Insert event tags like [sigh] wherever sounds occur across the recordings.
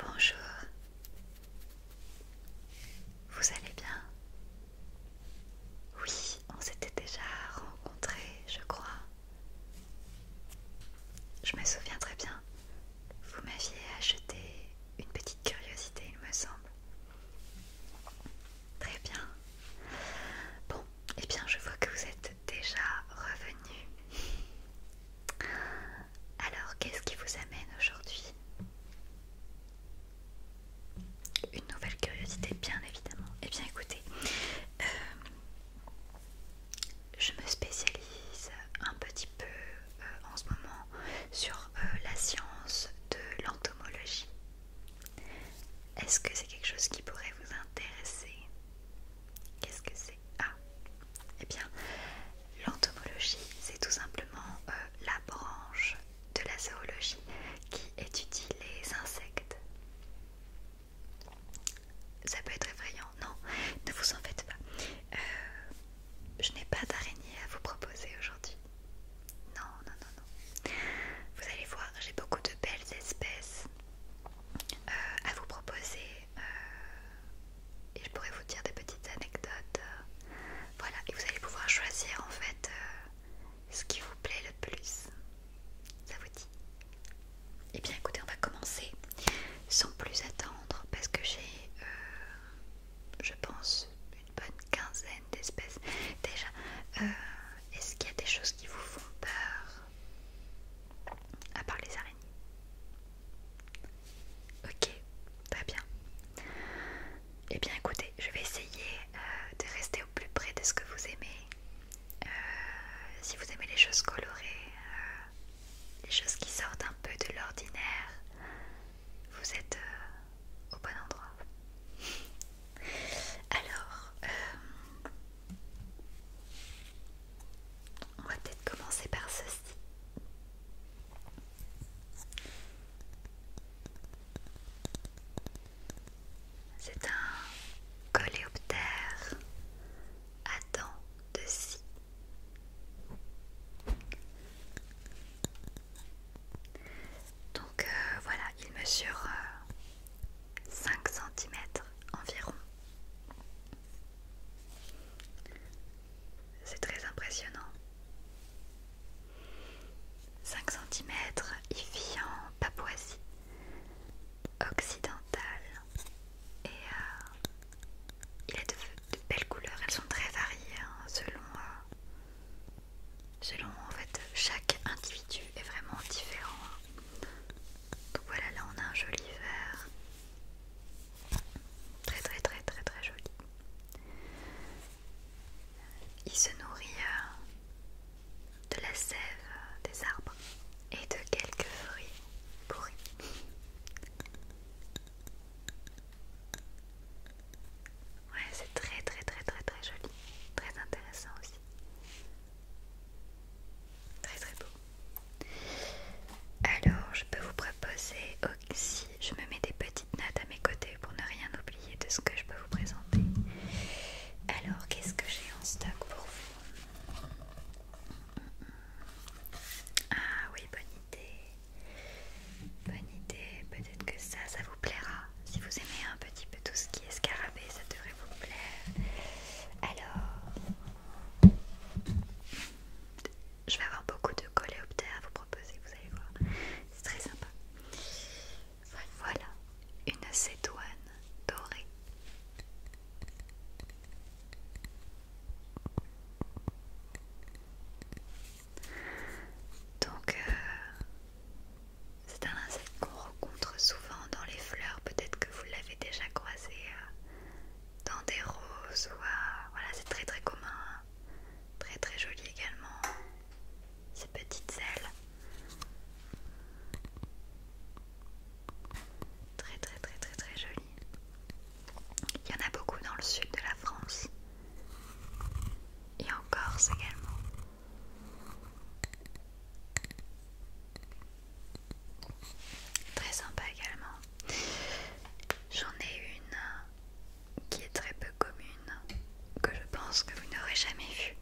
Bonjour, vous allez bien Oui, on s'était déjà rencontré, je crois. Je me souviens très bien, vous m'aviez acheté une petite curiosité, il me semble. Très bien. Bon, et eh bien je vois que vous êtes déjà revenu. Alors, qu'est-ce qui vous amène aujourd'hui Une nouvelle curiosité, bien évidemment. Eh bien écoutez, euh, je me spécialise un petit peu euh, en ce moment sur euh, la science de l'entomologie. Est-ce que c'est quelque chose qui pourrait vous intéresser Qu'est-ce que c'est Ah Eh bien, l'entomologie, c'est tout simplement euh, la branche de la zoologie qui étudie les insectes. Ça peut être effrayant, non Ne vous en faites pas. Euh, je n'ai pas d'araignée à vous proposer aujourd'hui. Non, non, non, non. Vous allez voir, j'ai beaucoup de belles espèces euh, à vous proposer. Euh, et je pourrais vous dire des petites anecdotes. voilà, et vous allez pouvoir choisir en fait ce qui vous plaît le plus. Ça vous dit et eh bien écoutez, on va commencer sans plus attendre parce que j'ai, euh, je pense, une bonne quinzaine d'espèces. Déjà, euh, est-ce qu'il y a des choses qui vous font peur à part les araignées Ok, très bien. Et eh bien écoutez, je vais essayer euh, de rester plus près de ce que vous aimez. Euh, si vous aimez les choses colorées, euh, les choses qui sortent un peu de l'ordinaire, vous êtes euh, au bon endroit. [laughs] Alors, on va peut-être commencer par ceci. C'est un coléoptère à dents de scie. Donc euh, voilà, il mesure 5 euh, cm environ. C'est très impressionnant. 5 cm, il vit en Papouasie occidental et euh, il a de, belles couleurs, elles sont très variées hein, selon, euh, selon en fait chaque individu est vraiment différent. Donc voilà, là on a un joli vert, très très très très très joli. Il se nourrit euh, de la sève des arbres et de quelques fruits pourris. Ouais, c'est très très très très très joli, très intéressant aussi. Très très beau. Alors, je peux vous proposer aussi, je me mets des petites notes à mes côtés pour ne rien oublier de ce que je peux vous présenter. Alors, qu'est-ce que j'ai en stock pour vous ah oui, bonne idée. Bonne idée, peut-être que ça, ça vous plaira. Si vous aimez un petit peu tout ce qui est scarabée, ça devrait vous plaire. Alors, je vais avoir beaucoup de coléoptères à vous proposer, vous allez voir. C'est très sympa. Voilà, une cédoine dorée. Donc, euh, c'est un insecte qu'on rencontre souvent dans les fleurs. Peut-être que vous l'avez déjà croisé euh, dans des roses. Euh, voilà, c'est très très commun. Très très joli également. Ces petites ailes. Très très très très très joli. Il y en a beaucoup dans le sud de la France. Et en Corse également. Très sympa également. J'en ai une qui est très peu commune, que je pense que vous n'aurez jamais vue.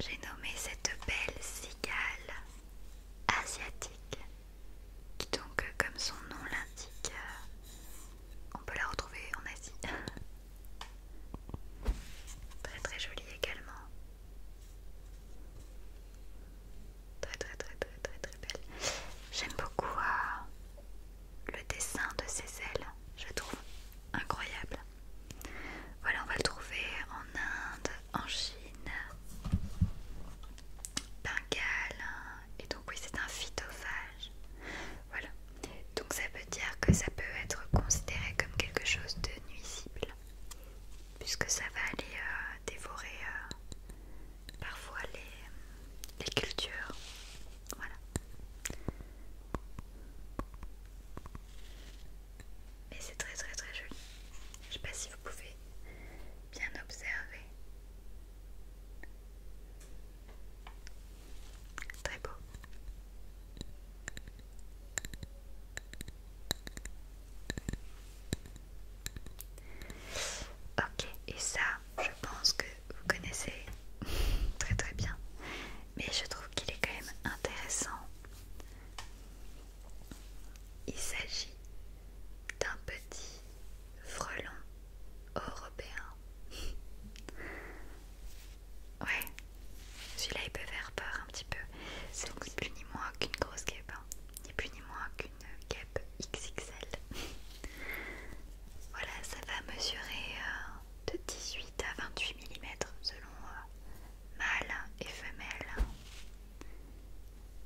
J'ai nommé cette belle cigale asiatique, qui donc, comme son nom l'indique, euh, on peut la retrouver en Asie. [laughs] Très très jolie également. Très très très très très belle. J'aime beaucoup euh, le dessin de ses ailes, je trouve incroyable. Voilà, on va le trouver en Inde, en Chine, Bengale, hein. et donc oui, c'est un phytophage. Voilà, donc ça veut dire que ça peut être considéré comme quelque chose de nuisible, puisque ça va aller euh, dévorer euh, parfois les, les cultures. Voilà mais c'est très très très joli. Je sais pas si vous pouvez bien observer. Très beau. Ok, et ça, je pense que vous connaissez [laughs] très très bien mais je trouve qu'il est quand même intéressant. Il s'agit d'un petit frelon européen. [laughs] ouais, celui-là il peut faire peur un petit peu. C'est ni plus ni moins qu'une grosse guêpe, hein. ni plus ni moins qu'une guêpe XXL. [laughs] voilà, ça va mesurer euh, de 18 à 28 mm selon mâles euh, mâle et femelle.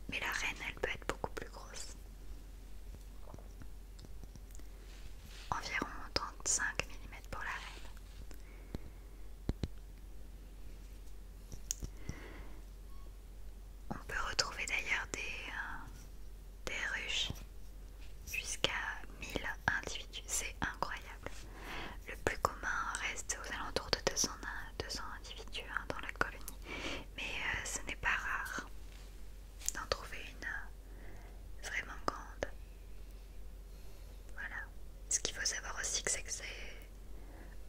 Mais la reine, elle peut être beaucoup plus grosse. Environ 35 mm pour la reine. On peut retrouver d'ailleurs des, euh, des ruches jusqu'à 1000 individus, c'est incroyable. Le plus commun reste aux alentours de 200, individus hein, dans la colonie, mais euh, ce n'est pas rare d'en trouver une euh, vraiment grande. Voilà. Ce qu'il faut savoir aussi, c'est que c'est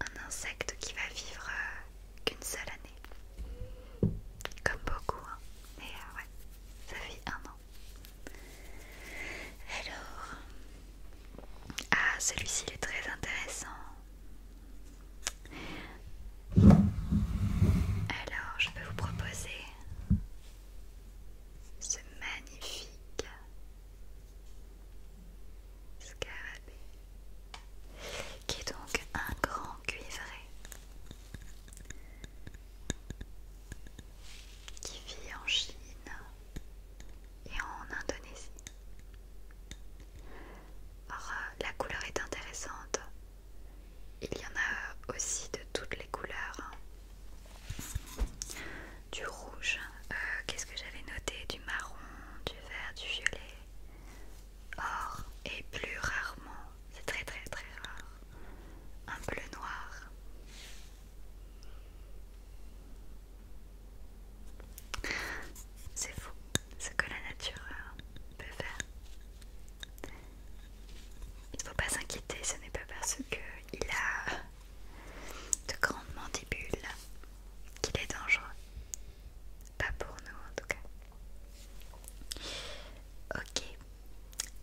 un insecte qui va vivre euh, qu'une seule année. Comme beaucoup, hein. mais ouais, ça vit un an. Alors, ah, celui-ci est très intéressant. Alors, je peux vous proposer ce magnifique scarabée qui est donc un grand cuivré qui vit en Chine et en Indonésie. Or, la couleur est intéressante. Il y en a aussi de toutes les couleurs. Hein. Du rouge, euh, qu'est-ce que j'avais noté Du marron, du vert, du violet. Or, et plus rarement, c'est très très très rare, un bleu noir. C'est fou ce que la nature euh, peut faire. Il ne faut pas s'inquiéter, ce n'est pas parce qu'il a de grandes mandibules qu'il est dangereux. Pas pour nous en tout cas. Ok,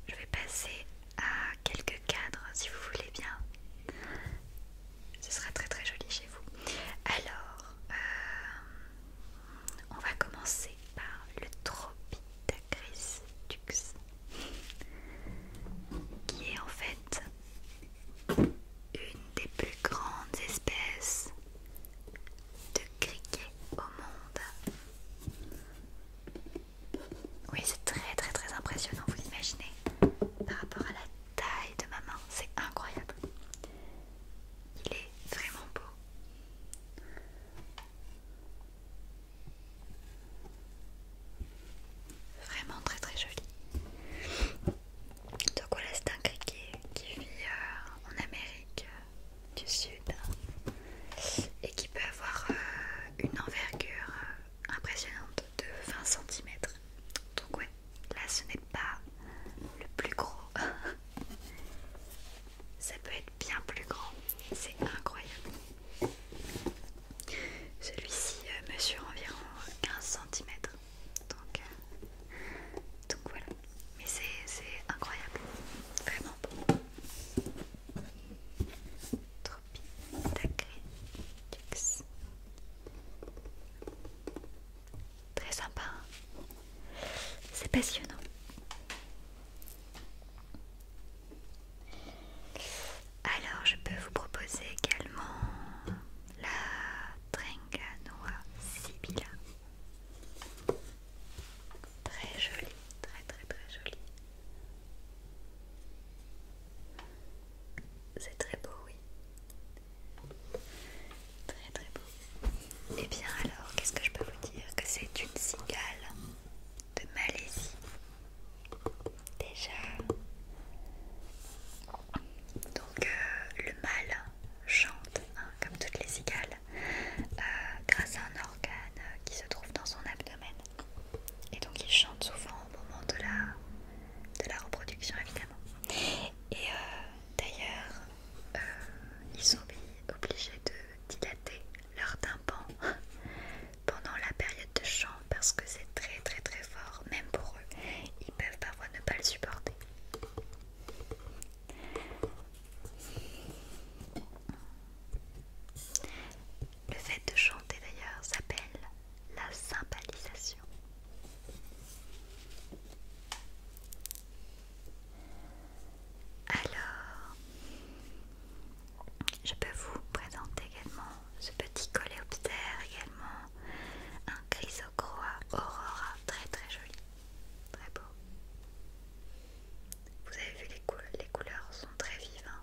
je vais passer à quelques cadres si vous voulez bien. Ce sera très très joli chez vous. Alors, euh, on va commencer par le Tropitacris qui est en fait une des plus grandes espèces de criquets au monde. Oui, c'est très très très impressionnant, vous l'imaginez Par rapport à la taille de ma main, c'est incroyable. Il est vraiment beau. Vraiment très très joli. Donc voilà, c'est un criquet qui vit euh, en Amérique euh, du Sud et qui peut avoir euh, une envergure impressionnante de 20 cm. Donc ouais, là ce n'est pas le plus gros. [laughs] Ça peut être bien plus grand. C'est incroyable. Celui-ci euh, mesure environ 15 cm. Donc, euh, donc voilà. Mais c'est incroyable. Vraiment bon Très sympa, hein. c'est passionnant. Alors, je peux vous proposer également la Tringanoa Sibylla. Très jolie, très très très jolie. C'est très beau, oui. Très très beau. Et eh bien alors, qu'est-ce que je peux vous dire Que c'est une cigale de Malaisie. Déjà. Donc euh, le mâle chante, hein, comme toutes les cigales, euh, grâce à un organe qui se trouve dans son abdomen. Et donc ils chantent souvent au moment de la, de la reproduction évidemment. Et euh, d'ailleurs, euh, ils sont obligés de dilater leur tympan [laughs] pendant la période de chant parce que c'est très très très fort, même pour eux. Ils peuvent parfois ne pas le supporter. Le fait de chanter d'ailleurs s'appelle la sympalisation. Alors, je peux vous présenter également ce petit coléoptère, également un chrysocroa aurora, très très joli, très beau. Vous avez vu les, les couleurs sont très vives. Hein.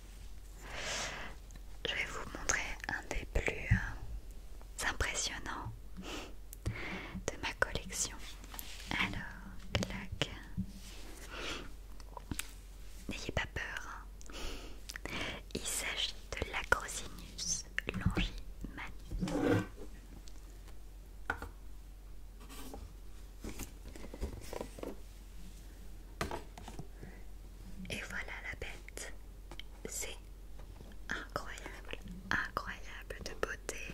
Je vais vous montrer un des plus euh, impressionnants de ma collection. Alors, clac. N'ayez pas peur. Hein. Il s'agit de l'Acrosinus longimanus. Et voilà la bête. C'est incroyable, incroyable de beauté,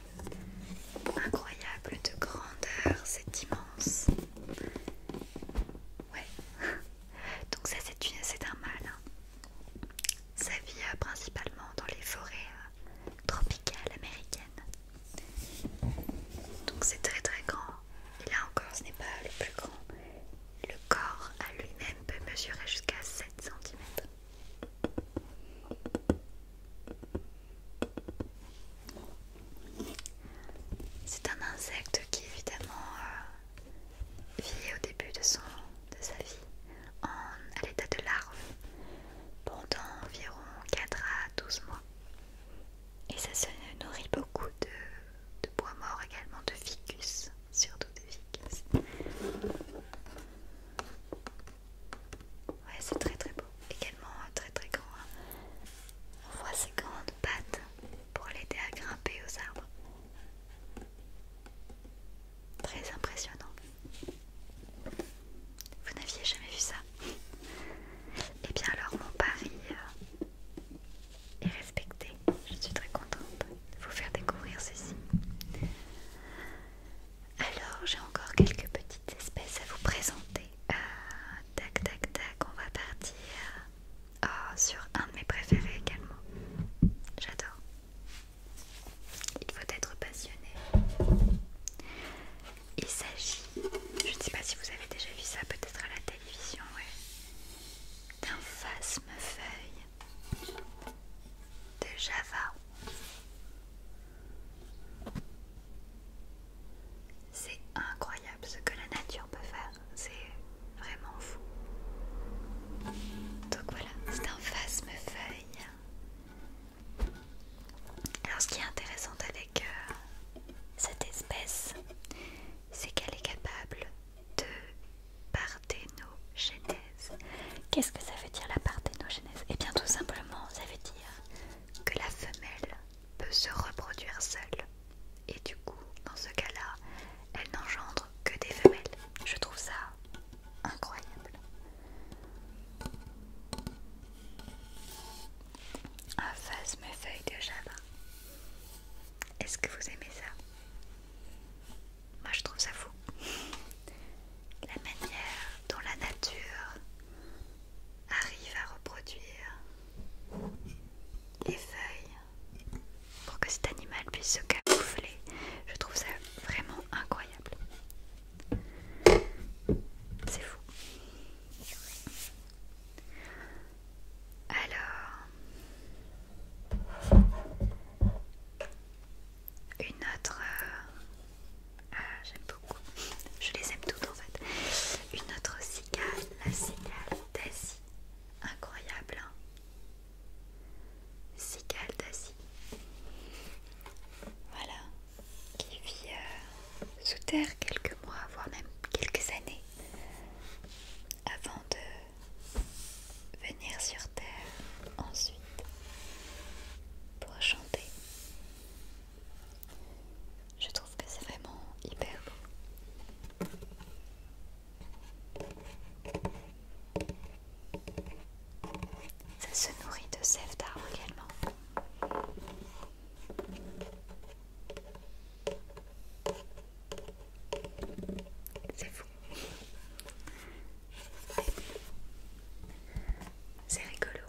incroyable de grandeur, c'est immense. Ouais. [laughs] Donc ça c'est un mâle. Ça hein. vit euh, principalement dans les forêts euh, tropicales américaines. Donc c'est très très grand. Là encore, ce n'est pas le plus grand. Le corps à lui-même peut mesurer jusqu'à 7 cm. C'est un insecte qui évidemment euh, vit au début de, son, de sa vie à l'état de larve pendant environ 4 à 12 mois. Et ça se nourrit beaucoup de, bois mort également, de ficus, surtout de ficus. Ouais, c'est très très beau, également très très grand. Hein. On voit ses grandes pattes pour l'aider à grimper aux arbres. Très impressionnant. Vous n'aviez jamais vu ça Et eh bien alors mon pari euh, et respecter. Je suis très contente de vous faire découvrir ceci. Alors, j'ai encore quelques petites espèces à vous présenter. Euh, tac, tac, tac, on va partir ah, sur un de mes préférés également. J'adore. Il faut être passionné. Il s'agit, je ne sais pas si vous avez déjà vu ça, peut-être à la télévision, D'un phasme feuille de Java. C'est incroyable ce que la nature peut faire, c'est vraiment fou. Donc voilà, c'est un phasme feuille. Alors ce qui est intéressant avec que euh, cette espèce, c'est qu'elle est capable de parthénogenèse. Qu'est-ce que ça veut dire la parthénogenèse Eh bien tout simplement, ça veut dire que la femelle peut se reproduire seule. Et du coup, dans ce cas-là, elle n'engendre que des femelles. Je trouve ça incroyable. Un ah, mes feuilles de java. Est-ce que vous aimez ça Moi je trouve ça fou. La manière dont la nature arrive à reproduire les feuilles pour que cet animal puisse se camoufler, je trouve ça vraiment incroyable. C'est fou. Alors, une autre... Euh, ah, j'aime beaucoup. [laughs] Je les aime toutes en fait. Une autre cigale, la cigale d'Asie. Incroyable, hein. Cigale d'Asie. Voilà. Qui vit... Euh, sous terre quelques mois, voire même quelques années, avant de venir sur terre ensuite pour chanter. Je trouve que c'est vraiment hyper beau. Ça se nourrit de sève d'arbre également. C'est fou. C'est rigolo.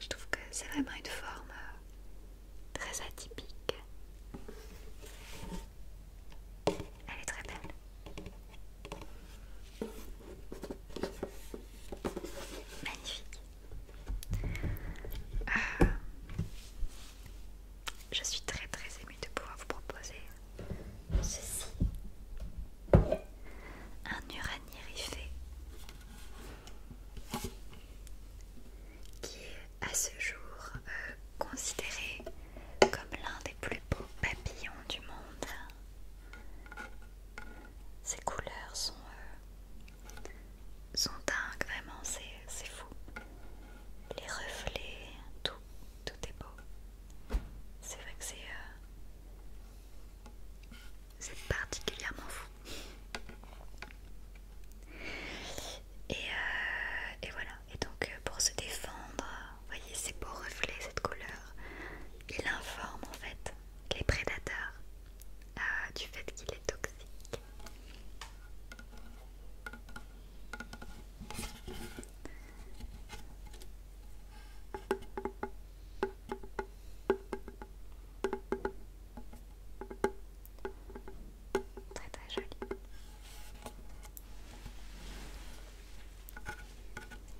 Je trouve que c'est vraiment une forme euh, très atypique. Elle est très belle. Magnifique. Euh, je suis très très émue de pouvoir vous proposer ceci. Un Uranierifé qui est à ce jour euh, considéré comme l'un des plus beaux papillons du monde. Ses couleurs sont euh, sont dingues, vraiment, c'est fou. Les reflets, tout, tout est beau. C'est vrai que c'est euh, particulièrement fou. Et, euh, et voilà, et donc euh, pour se défendre, voyez ces beaux reflets, cette couleur, il informe en fait les prédateurs ah, du fait qu'il est toxique. Très très joli.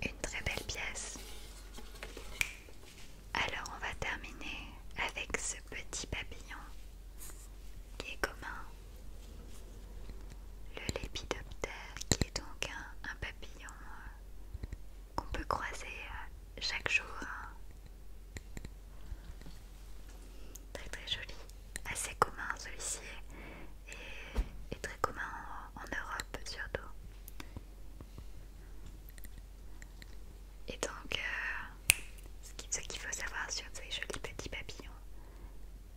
Une très belle pièce. Alors on va terminer avec ce petit papillon qui est commun, le lépidoptère qui est donc un, papillon euh, qu'on peut croiser euh, chaque jour. Hein. Très très joli, assez commun celui-ci et, très commun en Europe surtout. Et donc, euh, ce qu'il faut savoir sur ces jolis petits papillons,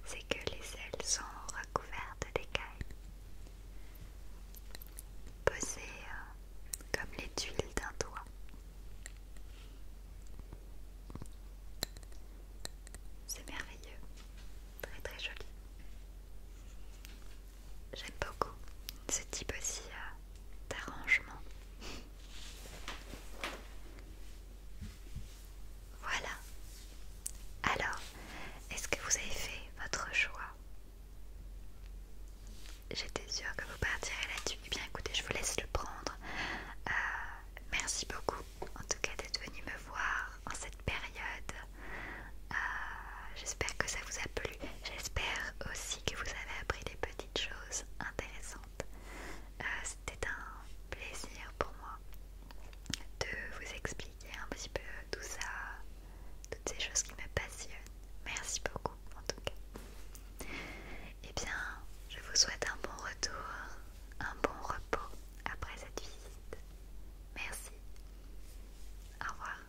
c'est que les ailes sont recouvertes d'écailles, posées euh, comme les tuiles d'un doigt. C'est merveilleux, très très joli. J'aime beaucoup ce type aussi euh, d'arrangement. [laughs] Voilà. Alors, est-ce que vous avez fait votre choix J'étais sûre que vous partirez là-dessus. Eh bien écoutez, je vous laisse le prendre. Euh, merci beaucoup en tout cas d'être venu me voir en cette période. Euh, j'espère que ça vous a plu. J'espère aussi que vous avez appris des petits choses intéressantes. Euh, c'était un plaisir pour moi de vous expliquer un petit peu tout ça, toutes ces choses qui me passionnent. Merci beaucoup en tout cas. Et eh bien, je vous souhaite un bon retour, un bon repos après cette visite. Merci. Au revoir.